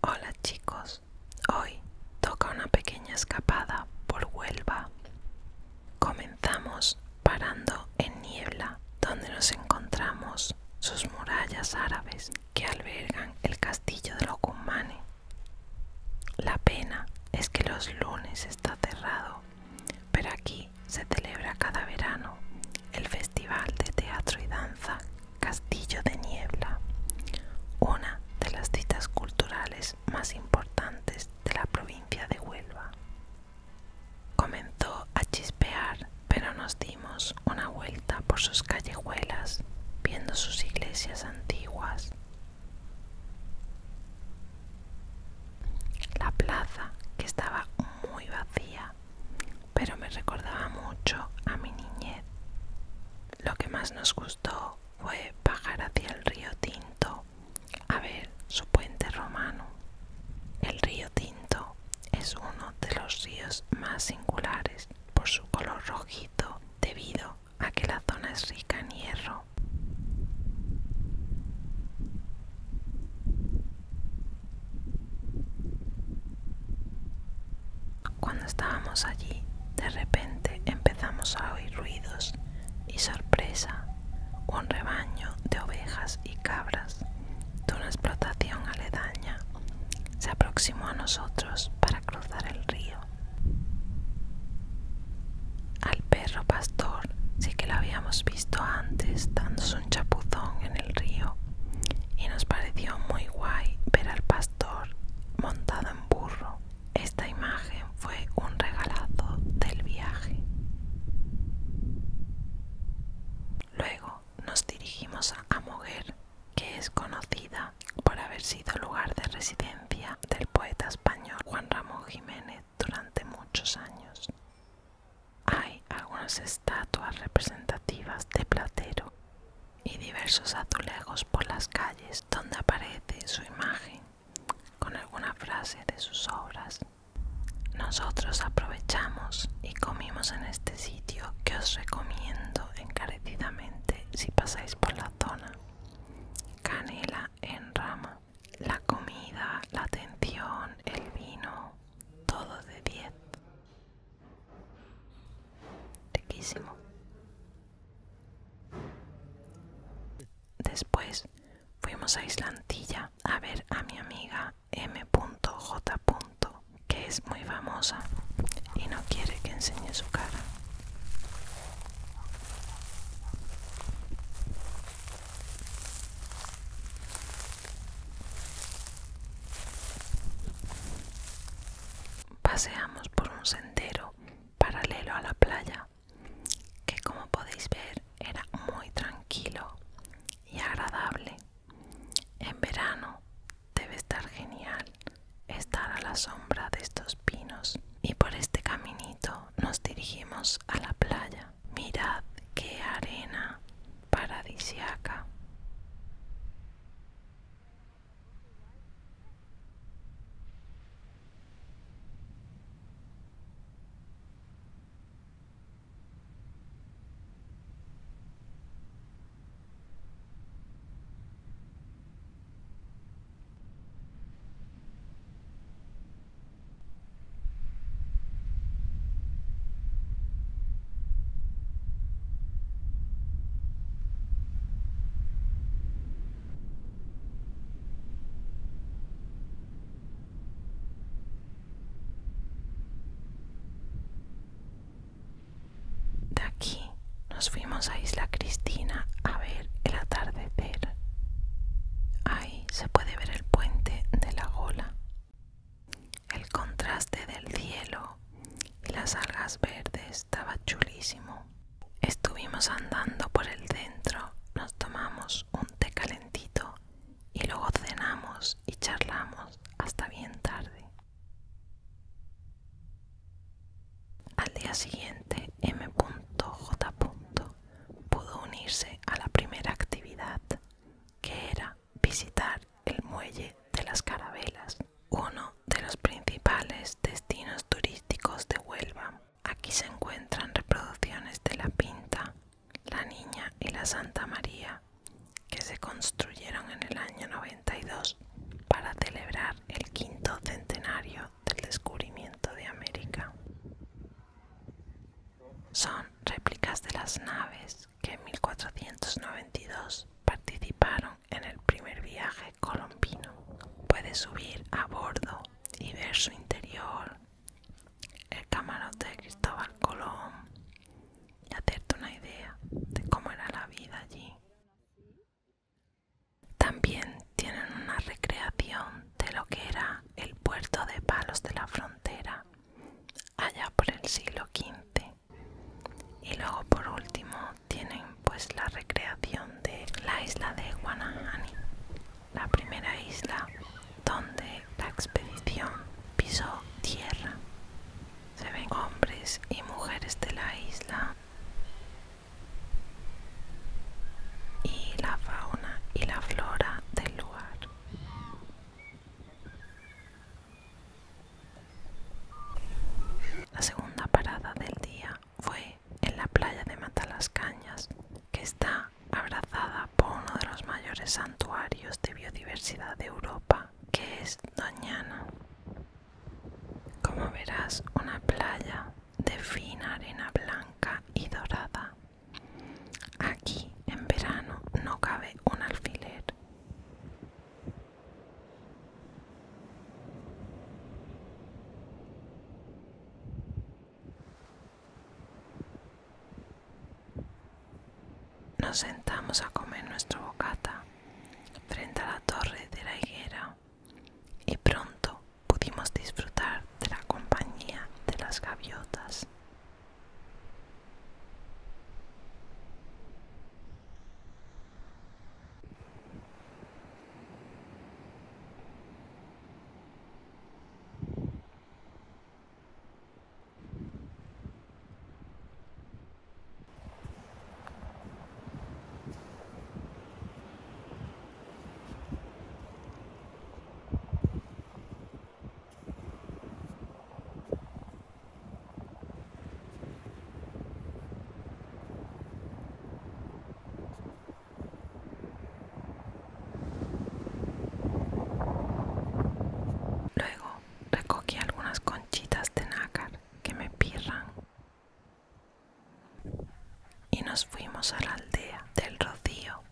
Hola chicos, hoy toca una pequeña escapada por Huelva. Comenzamos parando en Niebla, donde nos encontramos sus murallas árabes que albergan el castillo de los La pena es que los lunes está cerrado, pero aquí se celebra cada verano el Festival de Teatro y Danza Castillo de Niebla, una de las citas culturales más importantes de la provincia de Huelva. Comenzó a chispear, pero nos dimos una vuelta por sus callejuelas, viendo sus iglesias antiguas. La plaza, que estaba muy vacía, pero me recordaba mucho a mi niñez. Lo que más nos gustó fue bajar hacia el río Tinto a ver su puente romano. El río Tinto es uno de los ríos más singulares por su color rojito debido a que la zona es rica en hierro. Cuando estábamos allí, de repente empezamos a oír ruidos y sorpresa, un rebaño de ovejas y cabras de una explotación aledaña se aproximó a nosotros para cruzar el río. Al perro pastor sí que la habíamos visto antes dándose un chapuzón en el río y nos pareció muy guay ver al pastor montado en burro. Esta imagen fue un regalazo del viaje. Luego nos dirigimos a Moguer, que es conocida por haber sido lugar de residencia del poeta español Juan Ramón Jiménez durante muchos años. Hay algunas estatuas representativas de Platero y diversos azulejos por las calles donde aparece su imagen con alguna frase de sus obras. Nosotros aprovechamos y comimos en este sitio que os recomiendo encarecidamente si pasáis por la zona. Canela en rama la comida, la atención, el vino, todo de 10. Riquísimo. Después fuimos a Islantilla a ver a mi amiga M.J. que es muy famosa y no quiere que enseñe su cara. Paseamos por un sendero paralelo a la playa que como podéis ver era muy tranquilo y agradable. En verano debe estar genial estar a la sombra de estos pinos y por este caminito nos dirigimos a la playa. Mirad qué arena paradisiaca. De aquí nos fuimos a Isla Cristina a ver el atardecer se puede ver el puente de la gola. El contraste del cielo y las algas verdes estaba chulísimo. Estuvimos andando por el centro, nos tomamos un té calentito y luego cenamos y charlamos hasta bien tarde. Al día siguiente, M.J pudo unirse a la primera actividad, que era visitar el muelle de las carabelas, uno de los principales destinos turísticos de Huelva. Aquí se encuentran reproducciones de la Pinta, la Niña y la Santa María, que se construyeron en el año 92 para celebrar el quinto centenario del descubrimiento de América. Son réplicas de las naves que en 1492 participaron en el primer viaje colombino. Puedes subir a bordo y ver su interior, el camarote de Cristóbal Colón y hacerte una idea de cómo era la vida allí. También tienen una recreación de lo que era el puerto de Palos de la Frontera, allá por el siglo XV. Y luego por último tienen pues la recreación de la isla de Guanahani, la primera isla donde la expedición pisó tierra. Se ven hombres y mujeres de la isla y la fauna y la flora del lugar. La segunda parada del día fue en la playa de Matalascañas, que está abrazada por uno de los mayores santuarios de biodiversidad de Europa, que es Doñana. Como verás, una playa de fina arena blanca y dorada Aquí en verano no cabe un alfiler. Nos sentamos a comer nuestro bocata frente a la torre de la higuera y pronto pudimos disfrutar de la compañía de las gaviotas. Luego recogí algunas conchitas de nácar que me pirran y nos fuimos a la aldea del Rocío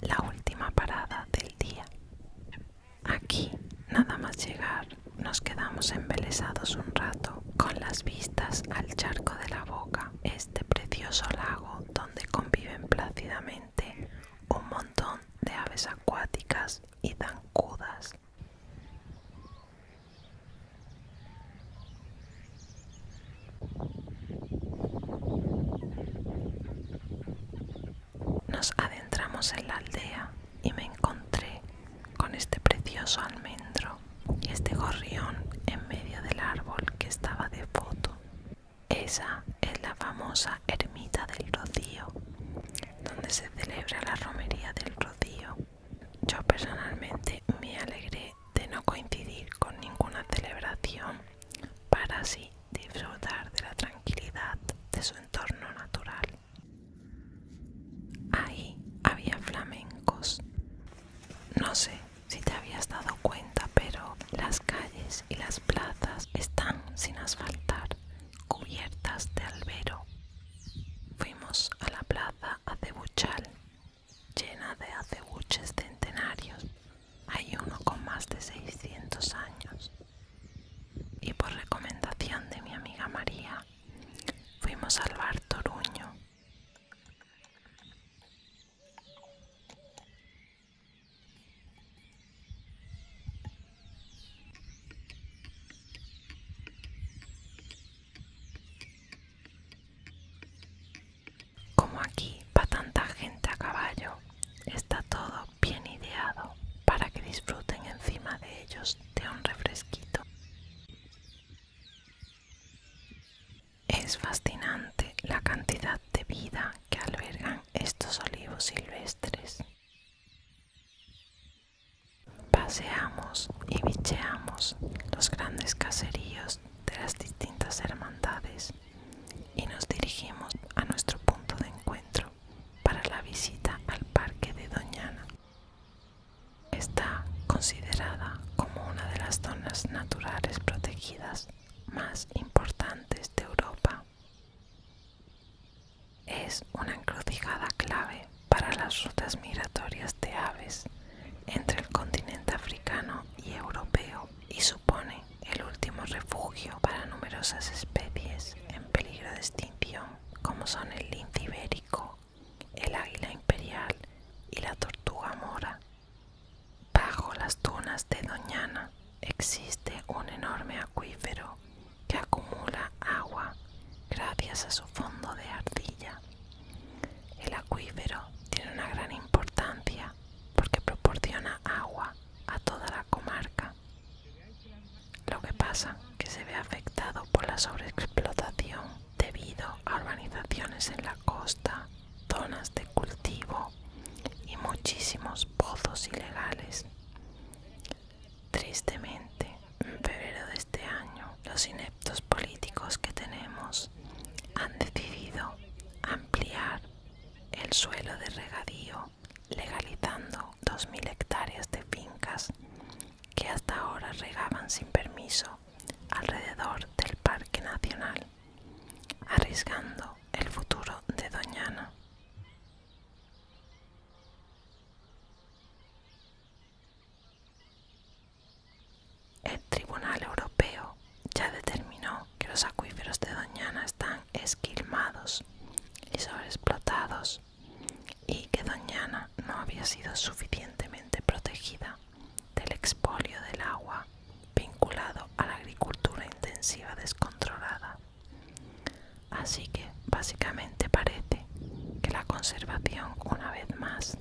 la última parada del día. Aquí, nada más llegar, nos quedamos embelesados un rato con las vistas al charco de la boca, este precioso lago donde conviven plácidamente un montón de aves acuáticas y zancudas. Nos adentramos en la aldea y me encontré con este precioso almendro y este gorrión en medio del árbol que estaba de foto. Esa es la famosa ermita del Rocío, donde se celebra la romería del Rocío. Yo personalmente me alegré de no coincidir con ninguna celebración para así disfrutar de la tranquilidad de su entorno natural. Ahí había flamencos. No sé si te habías dado cuenta, pero las calles y las plazas están sin asfaltar, cubiertas de albero. Fuimos a la plaza a Acebuchal llena de acebuches centenarios, hay uno con más de 600 años. Y por recomendación de mi amiga María, fuimos al bar Toruño. Como aquí va tanta gente a caballo, está todo bien ideado para que disfruten encima de ellos de un refresquito. Es fascinante la cantidad de vida que albergan estos olivos silvestres. Paseamos y bicheamos los grandes caseríos de las distintas hermandades y nos dirigimos a nuestro punto de encuentro para la visita al parque de Doñana. Está considerada como una de las zonas naturales protegidas más importantes de Europa. Es una encrucijada clave para las rutas migratorias de aves entre el continente africano y europeo y supone el último refugio para numerosas especies en peligro de extinción, como son el lince ibérico, el águila imperial y la tortuga mora. Bajo las dunas de Doñana existe un enorme acuífero que acumula agua gracias a su fondo de ardilla. El acuífero tiene una gran importancia porque proporciona agua a toda la comarca. Lo que pasa que se ve afectado por la sobreexplotación debido a urbanizaciones en la costa, zonas de cultivo y muchísimos pozos ilegales. Tristemente, en febrero de este año, los ineptos políticos que tenemos han decidido ampliar el suelo de regadío legalizando 2.000 hectáreas de fincas que hasta ahora regaban sin permiso alrededor del Parque Nacional, arriesgando el futuro de Doñana. El Tribunal Europeo ya determinó que los acuíferos de Doñana están esquilmados y sobreexplotados y que Doñana no había sido suficientemente protegida del expolio del agua vinculado a la agricultura intensiva descontrolada. Así que básicamente parece que la conservación una vez más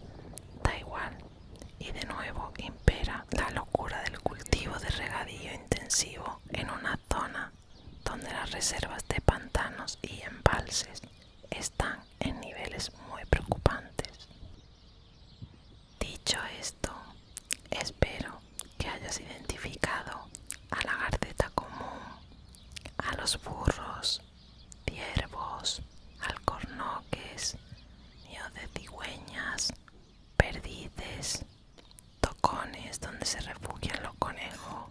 da igual y de nuevo impera la locura del cultivo de regadío intensivo en una zona donde las reservas de pantanos y embalses están en niveles muy preocupantes. Dicho esto, espero que hayas identificado a la garceta común, a los burros, ciervos, alcornoques, o de cigüeñas, perdices, tocones donde se refugian los conejos,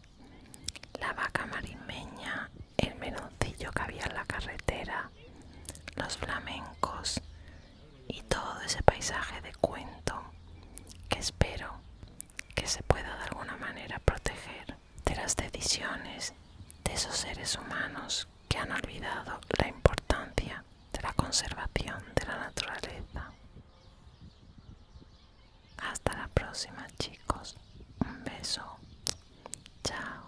la vaca marimeña, el menoncillo que había en la carretera, los flamencos y todo ese paisaje de cuento que espero que se pueda de alguna manera proteger de las decisiones de esos seres humanos que han olvidado la importancia de la conservación de la naturaleza. Hasta la próxima chicos. Un beso. Chao.